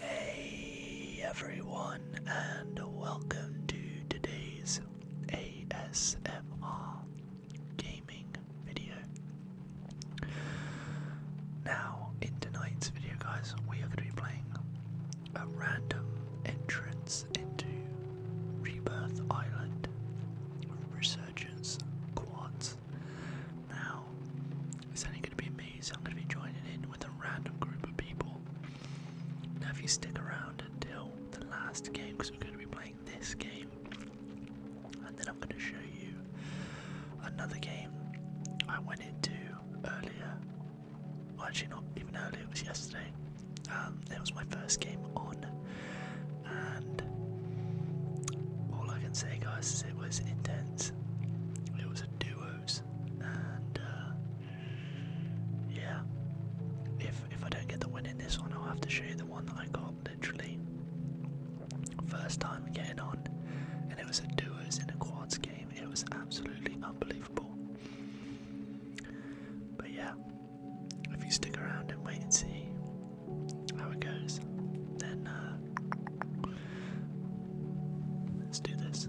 Hey everyone, and welcome to today's ASMR gaming video. Now, in tonight's video, guys, we are going to be playing a random entrance into Rebirth Island Resurgence Quads. Now, it's only going to be me, so I'm going to be joining in with a random group of people. Now, if you stick around until the last game, because we're going to be playing this game, and then I'm going to show you another game I went into earlier. actually, not even earlier, it was yesterday. Um, it was my first game on, and all I can say, guys, is it was intense. It was a duos, and uh, yeah, if if I don't get the win in this one, I'll have to show you the one that I got literally first time getting on, and it was a duos in a quads game. It was absolutely unbelievable. But yeah, if you stick around and wait and see how it goes, then uh, let's do this.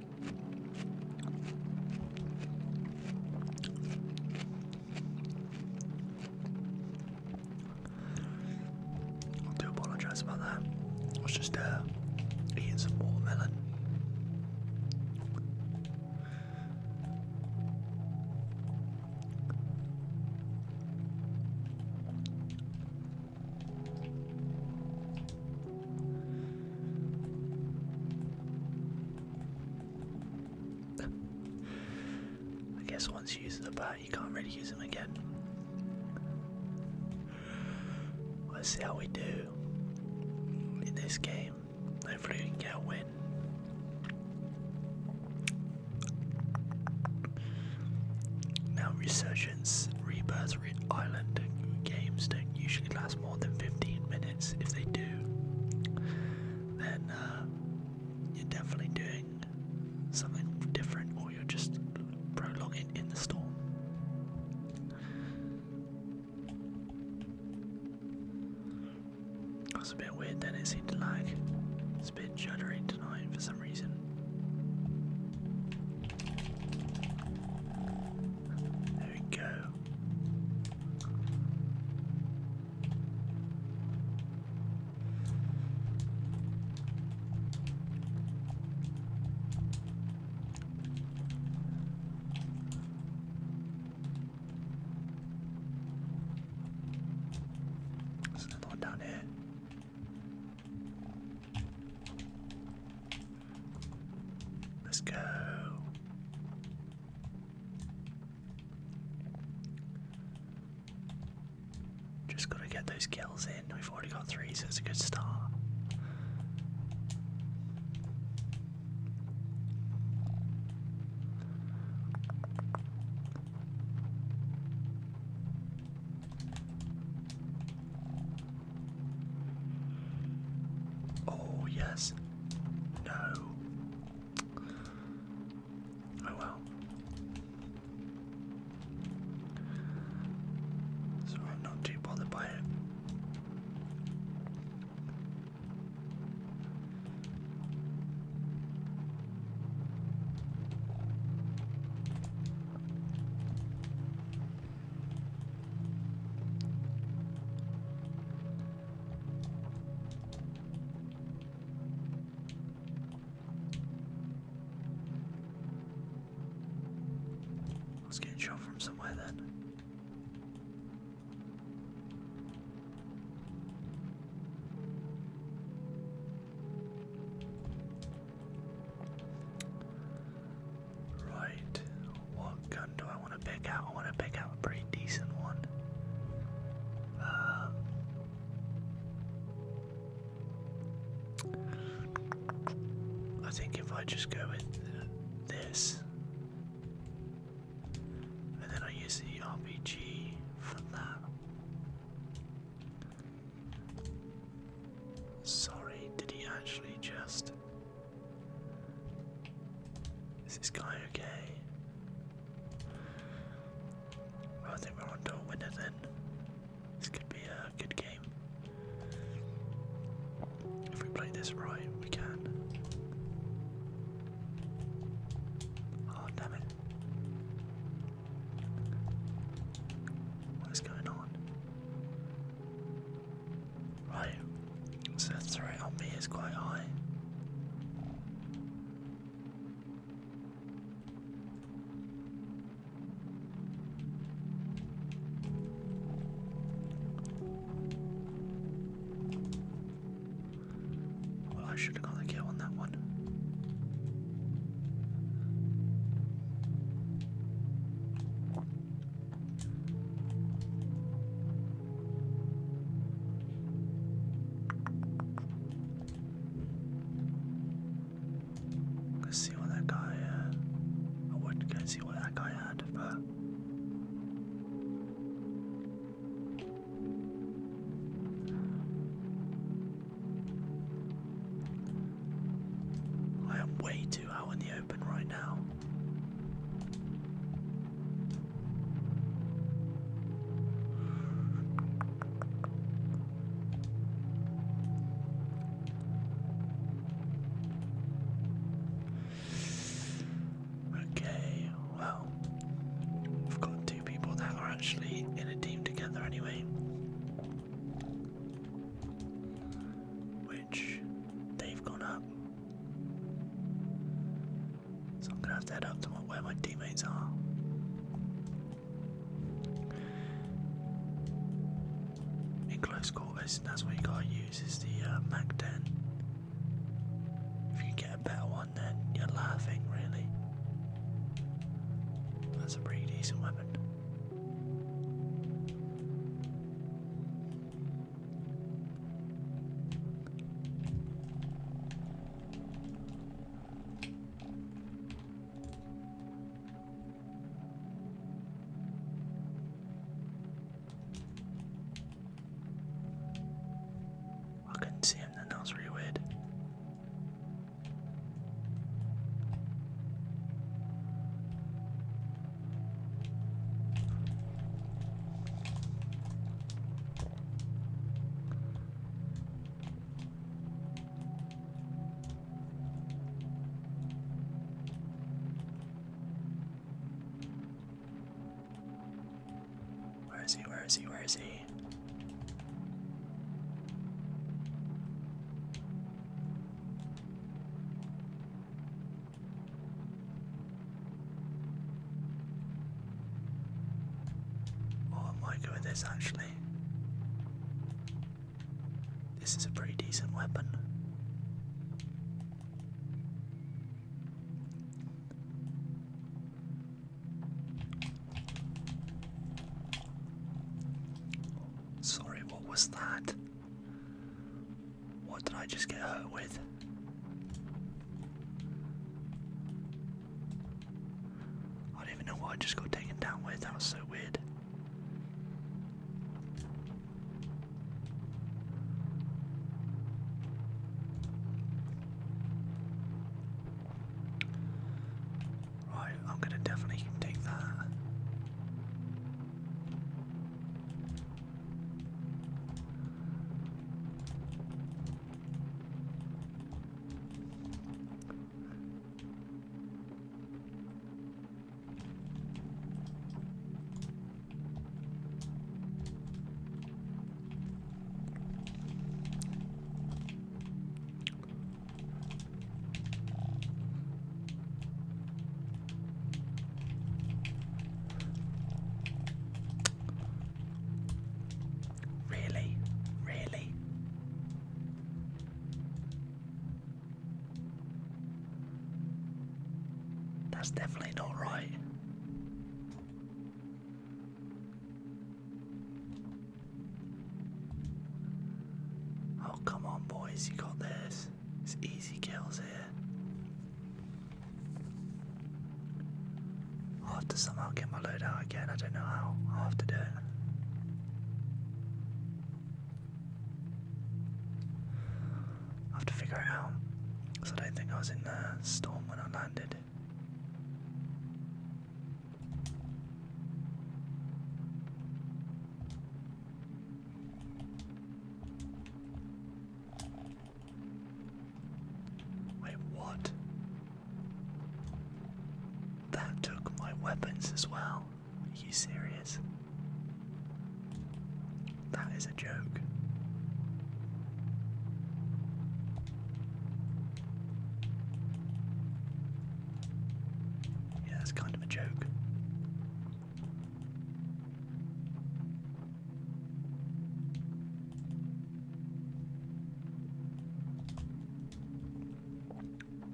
I do apologise about that. I was just uh, eating some watermelon. I guess once you use the bat, you can't really use them again. Let's see how we do in this game. Hopefully, we can get a win. Now, Resurgence, Rebirth, Island games don't usually last more than 15 minutes. If they do, then uh, you're definitely doing something different or you're just prolonging in the storm. That's a bit weird then, it seemed to lag. It's a bit juddery tonight for some reason. There we go. There's another one down here. Let's go. Just gotta get those kills in. We've already got three, so it's a good start. Oh, yes. No. Oh well. So I'm not too bothered by it. Let's get a shot from somewhere then. Right, what gun do I want to pick out? I want to pick out a pretty decent one. Uh, I think if I just go with this, and then I use the RPG for that. Sorry, did he actually just. Is this guy okay? I think we're on to a winner then. This could be a good game. If we play this right, we can. Oh, damn it. What is going on? Right, so the threat on me is quite high. Well, I should have got the kill on that one let see what that guy. Uh, I would go see what that guy had, but. I am waiting out in the open right now. Okay, well, we've got two people that are actually in a team together anyway which they've gone up. So I'm gonna have to head up to where my teammates are. In close quarters, and that's what you gotta use is the uh, mag 10. If you get a better one, then you're laughing, really. That's a pretty decent weapon. I couldn't see him then, that was really weird. Where is he? Where is he? Where is he? Oh, I might this actually. This is a pretty decent weapon. Sorry, what was that? What did I just get hurt with? I don't even know what I just got taken down with, that was so weird. Right, I'm gonna definitely take that. Really? Really? That's definitely not right. Oh, come on, boys, you got this. It's easy kills here. I'll have to somehow get my load out again. I don't know how. I'll have to do it. I have to figure it out. Because I don't think I was in the storm when I landed. Wait, what? That took my weapons as well. Are you serious? That is a joke. Yeah, that's kind of a joke.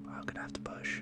I'm gonna have to push.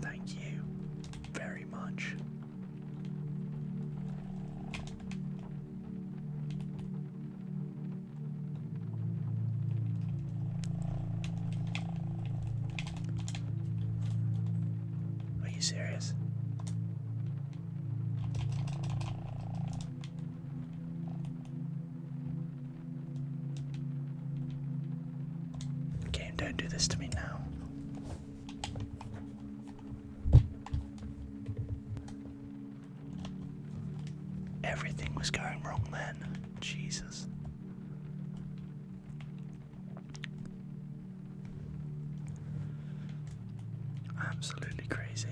Thank you very much. Are you serious? Game, don't do this to me now. Everything was going wrong then. Jesus. Absolutely crazy.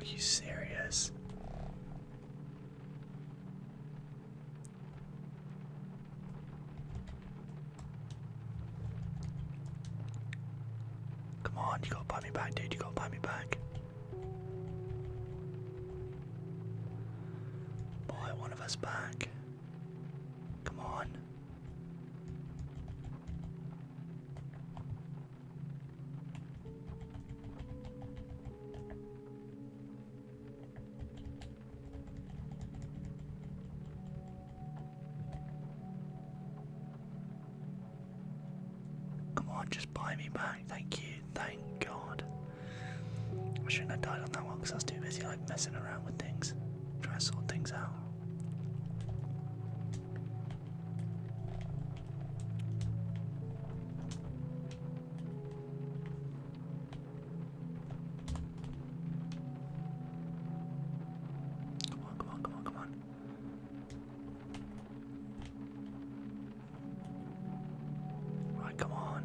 Are you serious? Come on, you gotta buy me back, dude, you gotta buy me back. Buy one of us back. Come on. Come on, just buy me back. Thank you. Thank God. I shouldn't have died on that one because I was too busy like messing around with things, trying to sort things out. Come on, come on, come on, come on. All right, come on.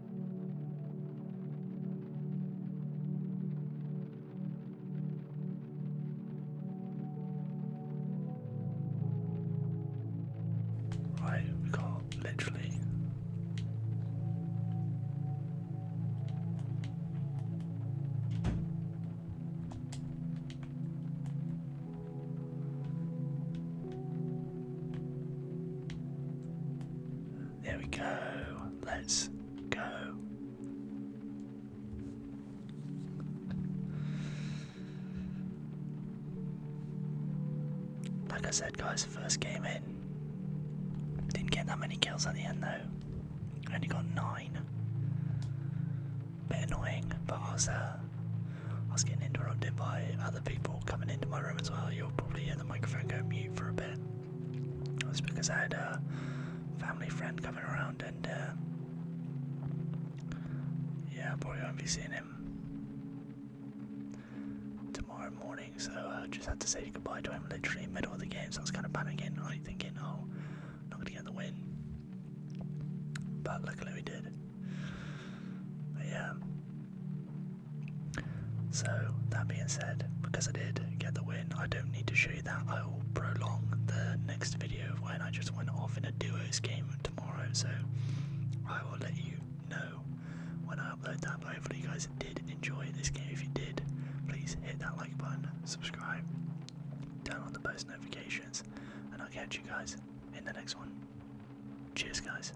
Right, we can't literally. There we go. Let's go. Like I said, guys, first game in. Didn't get that many kills at the end though. Only got nine. Bit annoying, but I was, uh, I was getting interrupted by other people coming into my room as well. You'll probably hear the microphone go mute for a bit. That's because I had a family friend coming around and uh, yeah, probably won't be seeing him tomorrow morning. So I just had to say goodbye to him literally in middle of the game. So I was kind of panicking, like thinking, oh, not gonna get the win. But luckily we did. But yeah, so, that being said, because I did get the win, I don't need to show you that. I will prolong the next video when I just went off in a duos game tomorrow. So, I will let you know when I upload that. But hopefully, you guys did enjoy this game. If you did, please hit that like button, subscribe, turn on the post notifications, and I'll catch you guys in the next one. Cheers, guys.